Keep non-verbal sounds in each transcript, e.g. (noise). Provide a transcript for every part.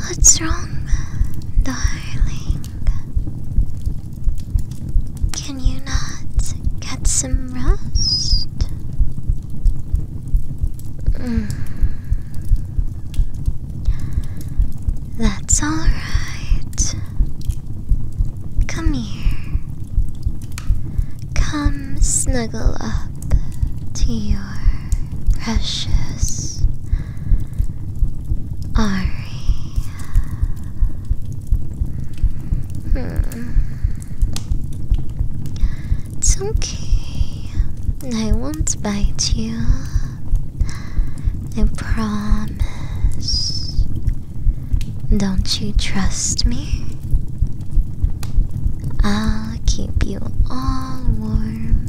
What's wrong, darling? Can you not get some rest? Mm. That's all right. Come here. Come snuggle up to your precious Ari. Hmm. It's okay. I won't bite you. I promise. Don't you trust me? I'll keep you all warm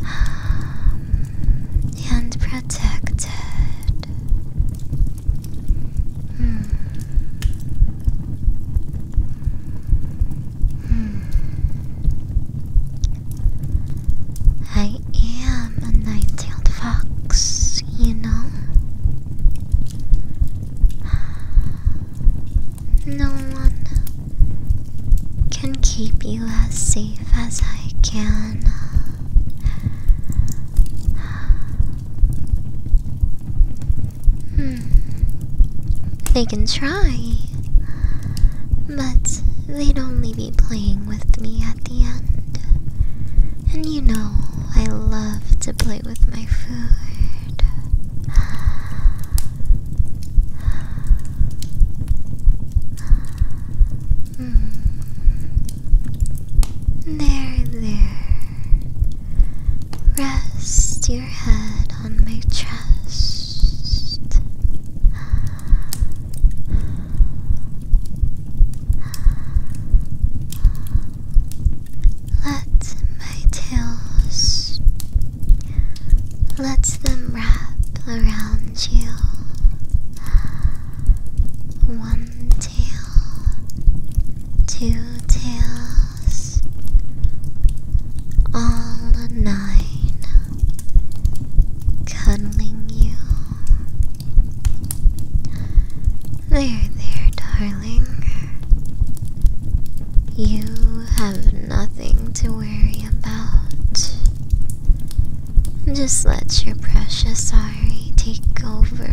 (sighs) and protected. Hmm. Hmm. I I am a night-tailed fox, you know. No one can keep you as safe as I can. Hmm. They can try, but they'd only be playing with me at and you know, I love to play with my food. Hmm. There, there. Rest your head on my chest. Let my tails let them wrap around you. One tail, two tails, all nine, cuddling you there, there, darling. You have nothing to worry about. Just let your precious Ari take over.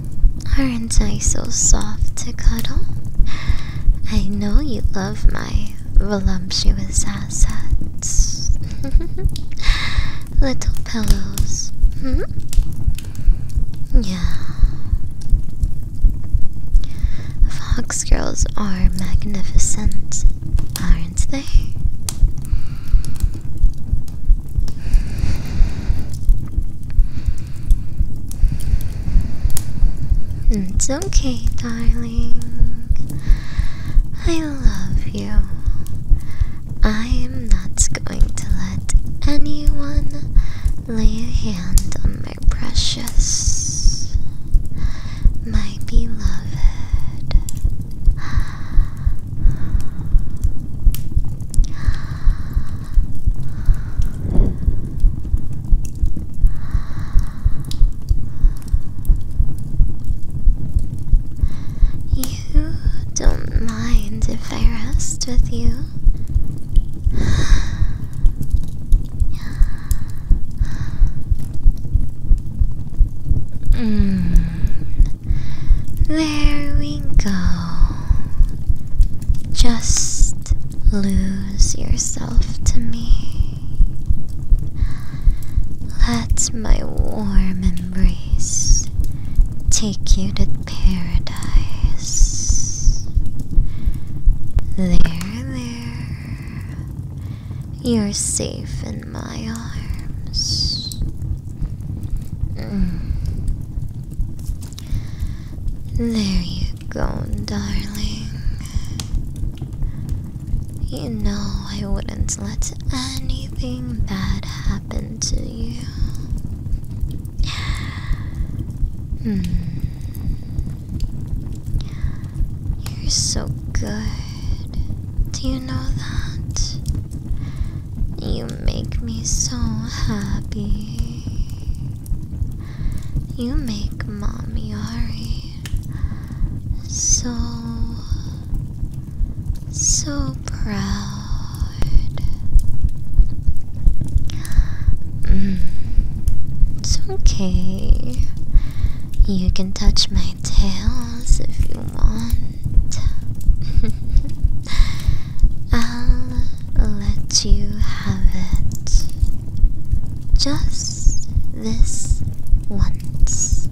Aren't I so soft to cuddle? I know you love my voluptuous assets. (laughs) Little pillows. Hmm? Yeah. Fox girls are magnificent, aren't they? It's okay, darling. I love you. I am not going to let anyone lay a hand on my precious, my beloved. You don't mind if I rest with you? Mm, there we go. Just lose yourself to me. Let my warm embrace take you to paradise. There, there. You're safe in my arms. There you go, darling. You know I wouldn't let anything bad happen to you. Hmm. You're so good. Do you know that? You make me so happy. You make Mommy Ari so, so proud. Mm, it's okay. You can touch my tails if you want. I'll let you have it just this once.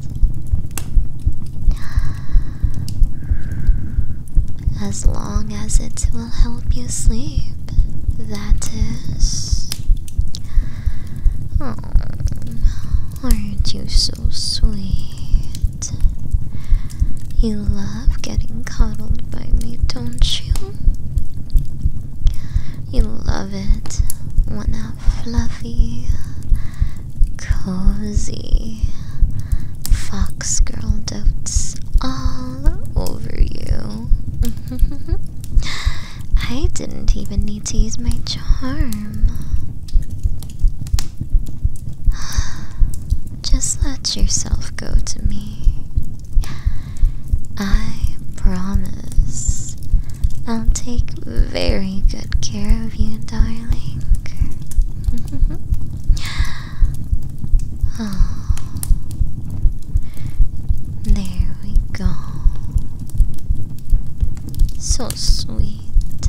As long as it will help you sleep, that is. aren't you so sweet? You love getting coddled by me, don't you? You love it when I'm fluffy, cozy fox girl dotes all over you. (laughs) I didn't even need to use my charm. (sighs) Just let yourself go to me. I promise I'll take very good care of you, darling. (laughs) oh. There we go. So sweet feet.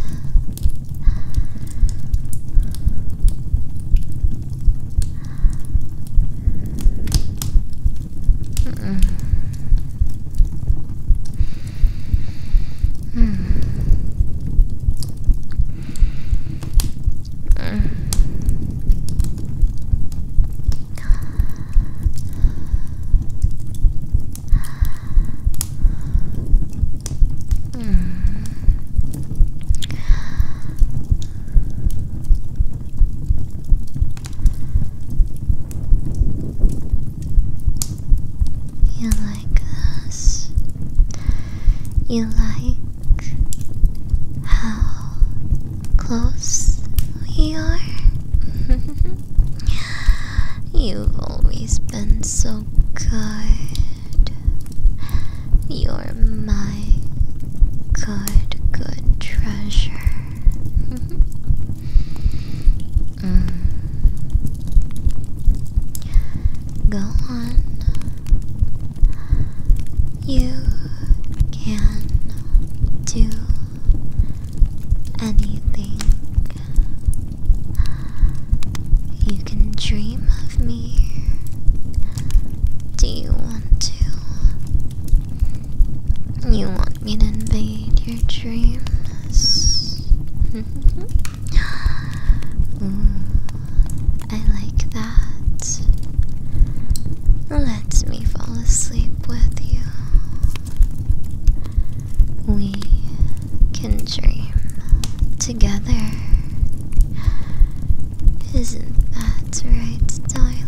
Mm -mm. mm. Mm. You like us. You like how close we are. (laughs) You've always been so kind. You're my good, good treasure. (laughs) Mm. Go on. You can do anything you can dream of me. Do you want to? You want me to invade your dreams? (laughs) Mm, I like that. Let me fall asleep with you we can dream together. Isn't that right, darling?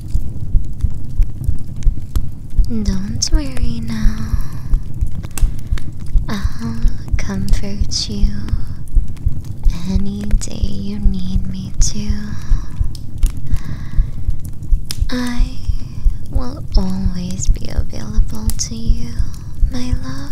Don't worry now. I'll comfort you any day you need me to. I will always be available to you, my love.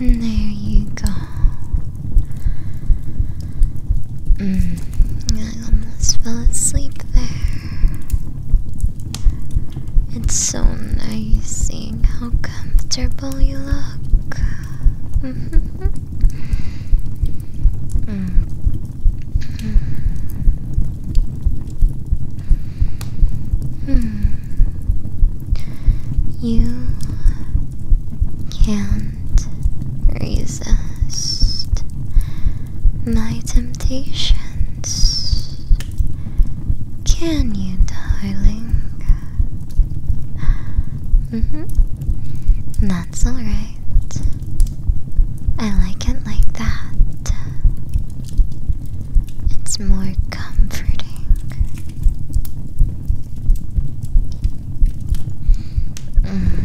There you go. Mm, I almost fell asleep there. It's so nice seeing how comfortable you look. mm. Hmm. You can't resist my temptations. Can you, darling? Mm-hmm. That's alright. I like it like that. It's more comforting. Mm.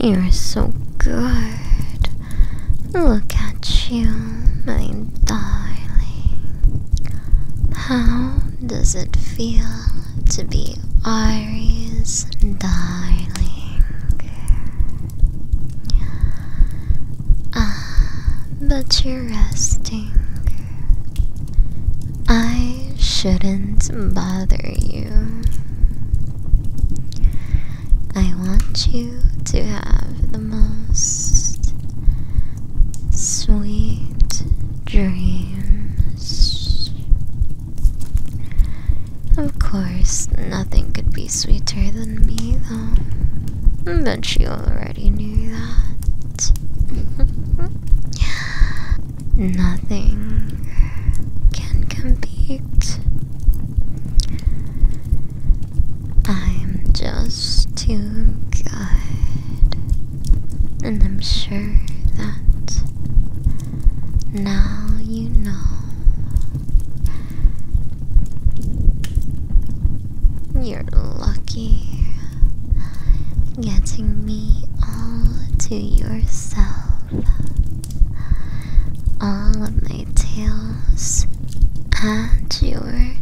You're so good. Look at you, my darling. How does it feel to be Ari's darling? Ah, but you're resting. I shouldn't bother you. I want you to have the most sweet dreams. Of course, nothing could be sweeter than me, though. But you already knew that. (laughs) Nothing can compete. I'm just too good, and I'm sure that now you know. You're lucky getting me all to yourself. All of my tales at your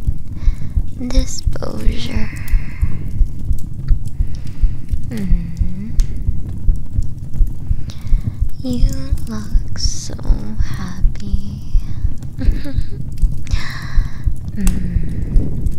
disposure. Mm-hmm. You look so happy. (laughs) Mm-hmm.